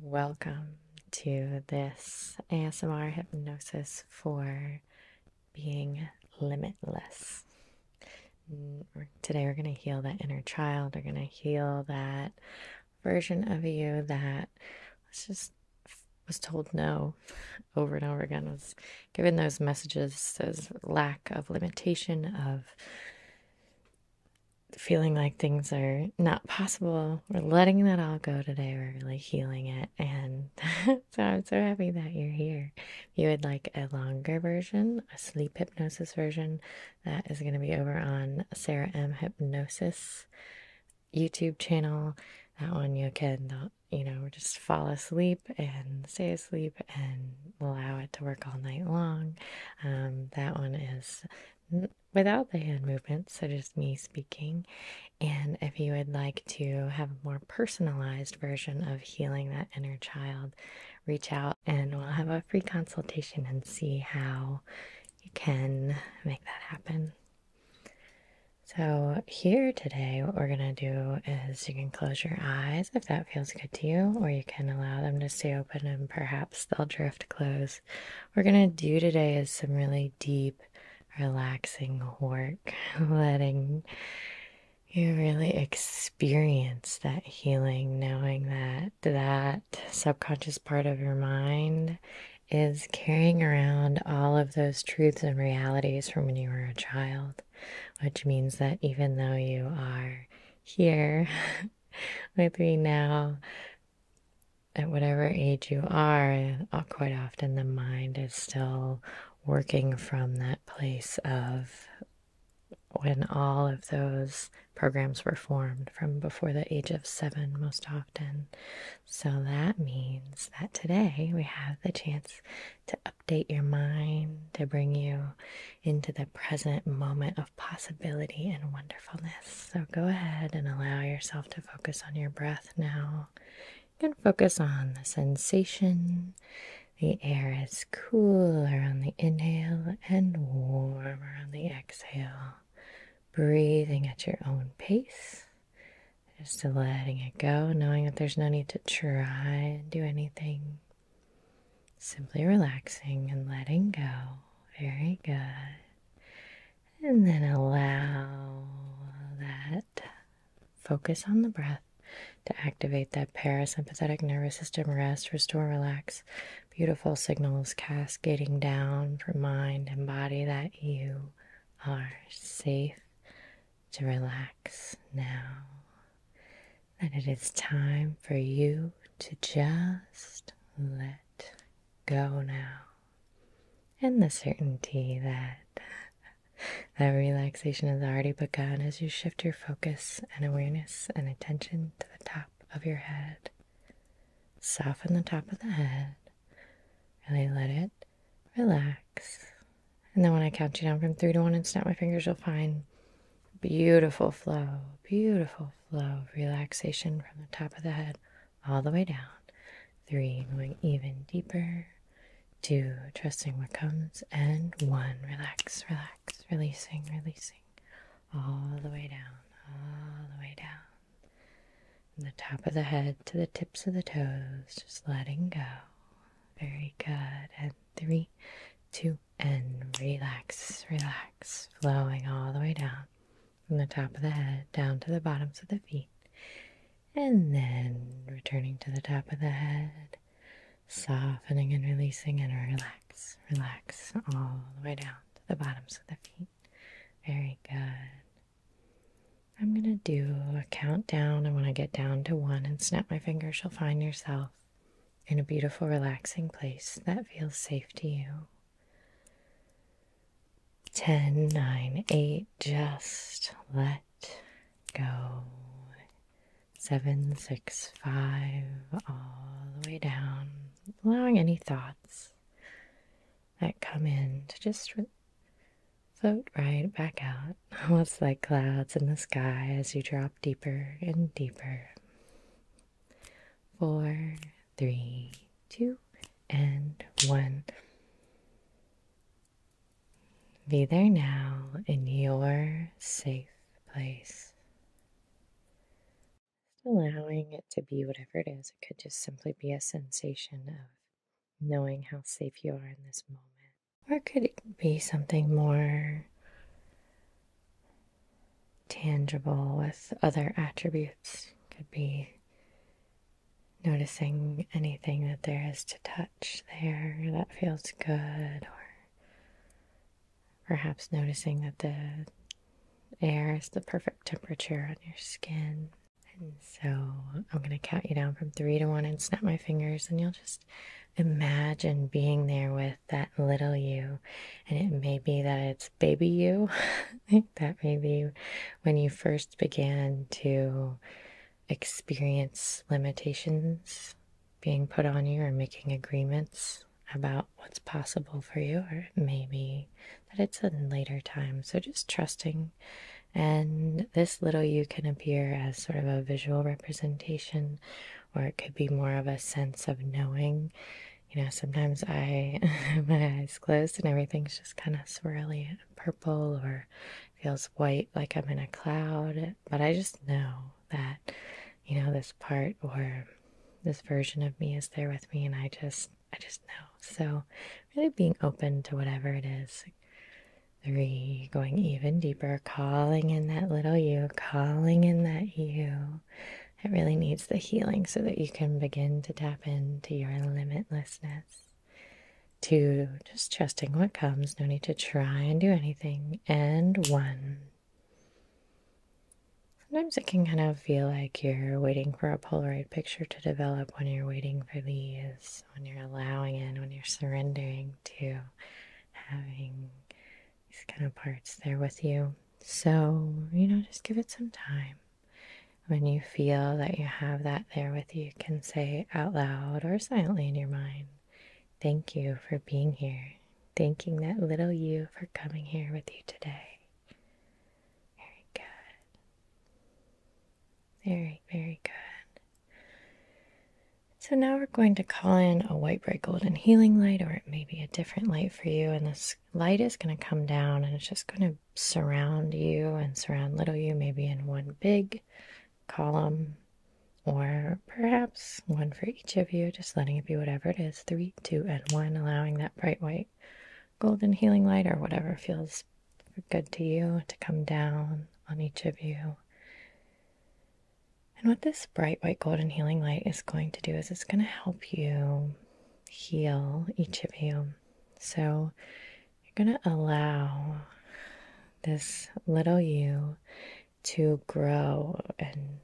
Welcome to this ASMR hypnosis for being limitless. Mm, today, we're going to heal that inner child. We're going to heal that version of you that was just was told no over and over again, was given those messages, those lack of limitation, of feeling like things are not possible. We're letting that all go today. We're really healing it. And so I'm so happy that you're here. If you would like a longer version, a sleep hypnosis version, that is going to be over on Sarah M. Hypnosis YouTube channel. That one you can, you know, just fall asleep and stay asleep and allow it to work all night long. Um, that one is without the hand movements, such as me speaking. And if you would like to have a more personalized version of healing that inner child, reach out and we'll have a free consultation and see how you can make that happen. So, here today, what we're going to do is you can close your eyes if that feels good to you, or you can allow them to stay open and perhaps they'll drift close things we're going to do today is some really deep, relaxing work, letting you really experience that healing, knowing that that subconscious part of your mind is carrying around all of those truths and realities from when you were a child, which means that even though you are here with me now, at whatever age you are, uh, quite often the mind is still working from that place of when all of those programs were formed from before the age of seven, most often. So that means that today we have the chance to update your mind, to bring you into the present moment of possibility and wonderfulness. So go ahead and allow yourself to focus on your breath now. and focus on the sensation. The air is cooler on the inhale and warmer on the exhale. Breathing at your own pace. Just letting it go, knowing that there's no need to try and do anything. Simply relaxing and letting go. Very good. And then allow that focus on the breath to activate that parasympathetic nervous system, rest, restore, relax. Beautiful signals cascading down from mind and body that you are safe to relax now. That it is time for you to just let go now. And the certainty that that relaxation has already begun as you shift your focus and awareness and attention to the top of your head. Soften the top of the head. and let it relax. And then when I count you down from three to one and snap my fingers, you'll find beautiful flow, beautiful flow of relaxation from the top of the head all the way down. Three, going even deeper. Two, trusting what comes. And one, relax, relax, releasing, releasing. All the way down, all the way down. From the top of the head to the tips of the toes, just letting go. Very good. And three, two, and relax, relax, flowing all the way down from the top of the head down to the bottoms of the feet, and then returning to the top of the head, softening and releasing, and relax, relax all the way down to the bottoms of the feet. Very good. I'm going to do a countdown, and when I get down to one and snap my fingers, you'll find yourself in a beautiful, relaxing place that feels safe to you. Ten, nine, eight, just let go. Seven, six, five, all the way down, allowing any thoughts that come in to just float right back out, almost like clouds in the sky as you drop deeper and deeper. Four, three, two, and one. Be there now in your safe place. Just allowing it to be whatever it is. It could just simply be a sensation of knowing how safe you are in this moment. Or could it be something more tangible with other attributes. Could be noticing anything that there is to touch there that feels good, or perhaps noticing that the air is the perfect temperature on your skin. And so I'm going to count you down from three to one and snap my fingers, and you'll just imagine being there with that little you. And it may be that it's baby you, that maybe when you first began to experience limitations being put on you or making agreements about what's possible for you, or maybe that it's a later time. So just trusting. And this little you can appear as sort of a visual representation, or it could be more of a sense of knowing you know, sometimes I my eyes closed and everything's just kind of swirly purple or feels white like I'm in a cloud. But I just know that, you know, this part or this version of me is there with me and I just I just know. So really being open to whatever it is. Three, going even deeper, calling in that little you, calling in that you, it really needs the healing so that you can begin to tap into your limitlessness, to just trusting what comes, no need to try and do anything, and one. Sometimes it can kind of feel like you're waiting for a Polaroid picture to develop when you're waiting for these, when you're allowing and when you're surrendering to having these kind of parts there with you. So, you know, just give it some time. When you feel that you have that there with you, you can say out loud or silently in your mind, Thank you for being here. Thanking that little you for coming here with you today. Very good. Very, very good. So now we're going to call in a white, bright, golden healing light, or it may be a different light for you. And this light is going to come down and it's just going to surround you and surround little you, maybe in one big column or perhaps one for each of you, just letting it be whatever it is three, two, and one, allowing that bright white golden healing light or whatever feels good to you to come down on each of you. And what this bright white golden healing light is going to do is it's going to help you heal each of you. So you're going to allow this little you to grow and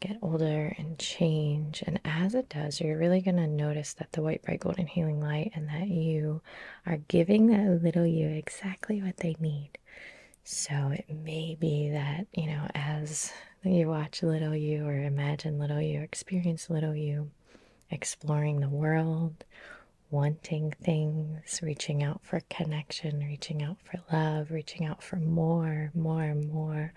get older and change. And as it does, you're really going to notice that the white, bright, golden healing light and that you are giving that little you exactly what they need. So it may be that, you know, as that you watch little you or imagine little you, experience little you exploring the world, wanting things, reaching out for connection, reaching out for love, reaching out for more, more, more,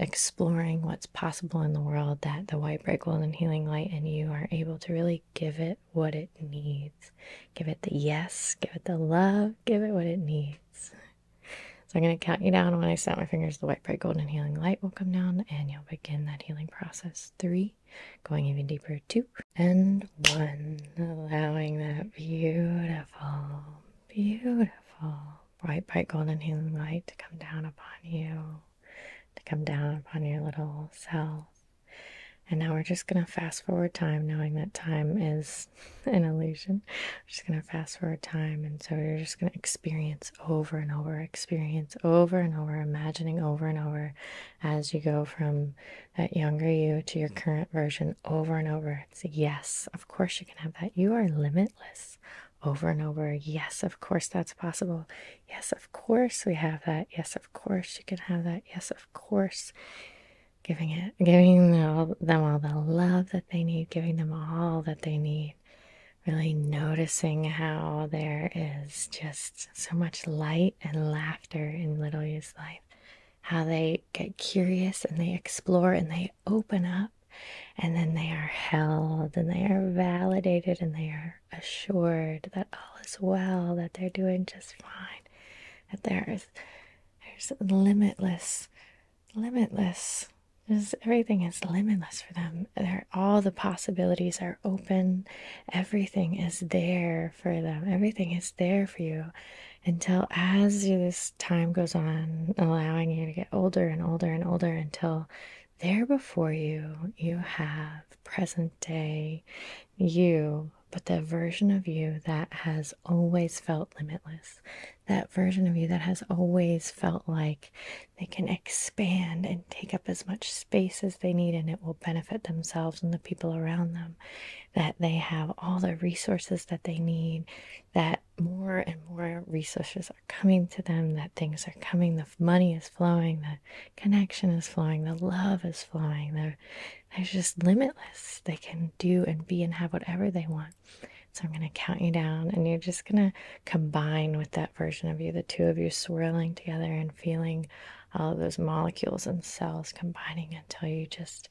exploring what's possible in the world that the white bright golden healing light and you are able to really give it what it needs. Give it the yes, give it the love, give it what it needs. So I'm going to count you down. When I snap my fingers, the white, bright, golden healing light will come down and you'll begin that healing process. Three, going even deeper. Two, and one. Allowing that beautiful, beautiful bright, bright, golden healing light to come down upon you, to come down upon your little cells. And now we're just going to fast forward time, knowing that time is an illusion just going to fast forward time. And so you're just going to experience over and over, experience over and over, imagining over and over as you go from that younger you to your current version over and over. yes, of course you can have that. You are limitless over and over. Yes, of course that's possible. Yes, of course we have that. Yes, of course you can have that. Yes, of course giving it giving them all the love that they need giving them all that they need Really noticing how there is just so much light and laughter in Little You's life. How they get curious and they explore and they open up, and then they are held and they are validated and they are assured that all is well, that they're doing just fine, that there is there's limitless limitless. everything is limitless for them. all the possibilities are open. Everything is there for them. Everything is there for you until as this time goes on, allowing you to get older and older and older until there before you, you have present day you, but the version of you that has always felt limitless, that version of you that has always felt like they can expand and take up as much space as they need and it will benefit themselves and the people around them that they have all the resources that they need that more and more resources are coming to them that things are coming the money is flowing the connection is flowing the love is flowing they're, just limitless they can do and be and have whatever they want so I'm going to count you down, and you're just going to combine with that version of you, the two of you swirling together and feeling all of those molecules and cells combining until you just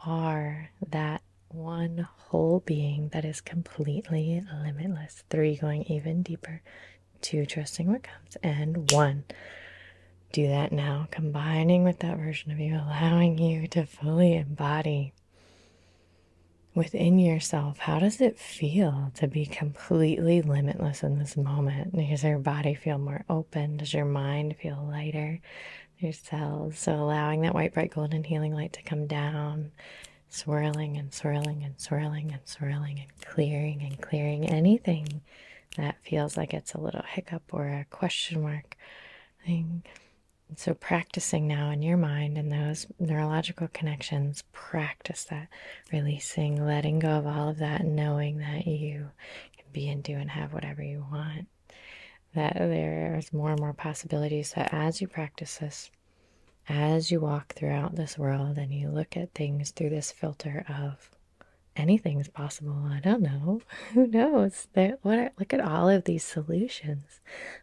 are that one whole being that is completely limitless. Three, going even deeper, two, trusting what comes, and one. Do that now, combining with that version of you, allowing you to fully embody within yourself, how does it feel to be completely limitless in this moment? Does your body feel more open? Does your mind feel lighter? Your cells. So allowing that white, bright, golden healing light to come down, swirling and swirling and swirling and swirling and clearing and clearing anything that feels like it's a little hiccup or a question mark thing. So, practicing now in your mind and those neurological connections, practice that releasing, letting go of all of that, knowing that you can be and do and have whatever you want. That there's more and more possibilities that as you practice this, as you walk throughout this world and you look at things through this filter of anything's possible, I don't know, who knows? There, what? Look at all of these solutions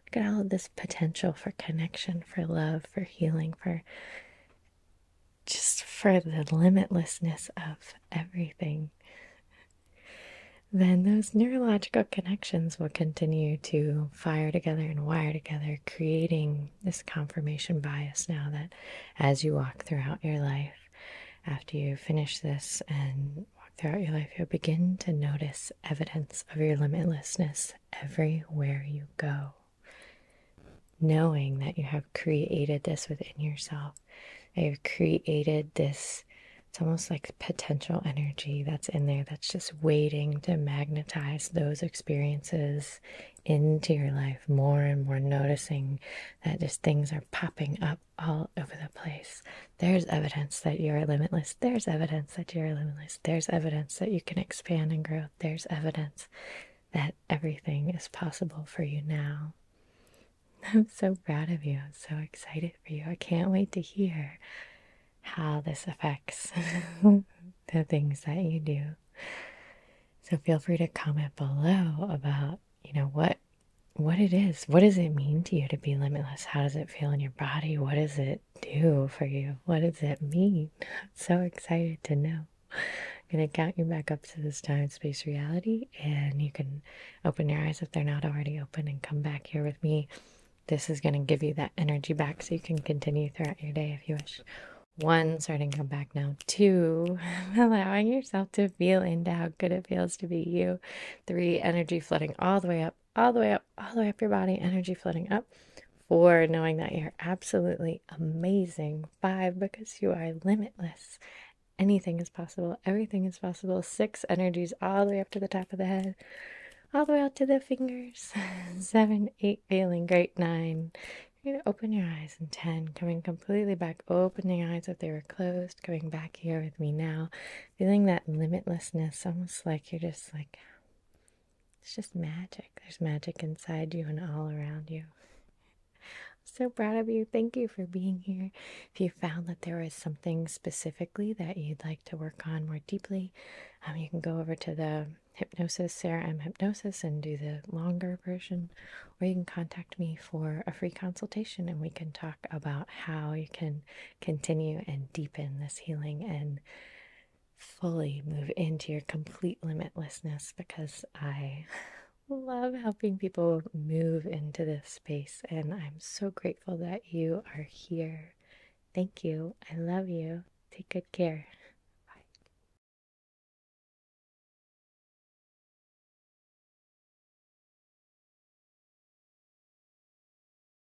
Look at all of this potential for connection, for love, for healing, for just for the limitlessness of everything. Then those neurological connections will continue to fire together and wire together, creating this confirmation bias now that as you walk throughout your life, after you finish this and throughout your life, you'll begin to notice evidence of your limitlessness everywhere you go. Knowing that you have created this within yourself, that you've created this, it's almost like potential energy that's in there that's just waiting to magnetize those experiences into your life more and more, noticing that just things are popping up all over the place there's evidence that you are limitless. There's evidence that you are limitless. There's evidence that you can expand and grow. There's evidence that everything is possible for you now. I'm so proud of you. I'm so excited for you. I can't wait to hear how this affects the things that you do. So feel free to comment below about, you know, what what it is. What does it mean to you to be limitless? How does it feel in your body? What is it do for you? What does that mean? so excited to know. I'm going to count you back up to this time space reality, and you can open your eyes if they're not already open and come back here with me. This is going to give you that energy back so you can continue throughout your day if you wish. One, starting to come back now. Two, allowing yourself to feel into how good it feels to be you. Three, energy flooding all the way up all the way up, all the way up your body, energy floating up. Four, knowing that you're absolutely amazing. Five, because you are limitless. Anything is possible. Everything is possible. Six, energies all the way up to the top of the head, all the way out to the fingers. Seven, eight, feeling great. Nine, you're going to open your eyes. And ten, coming completely back, opening eyes if they were closed, coming back here with me now, feeling that limitlessness, almost like you're just like it's just magic. There's magic inside you and all around you. so proud of you. Thank you for being here. If you found that there was something specifically that you'd like to work on more deeply, um, you can go over to the hypnosis, Sarah M. Hypnosis, and do the longer version, or you can contact me for a free consultation and we can talk about how you can continue and deepen this healing and fully move into your complete limitlessness because I love helping people move into this space. And I'm so grateful that you are here. Thank you. I love you. Take good care. Bye.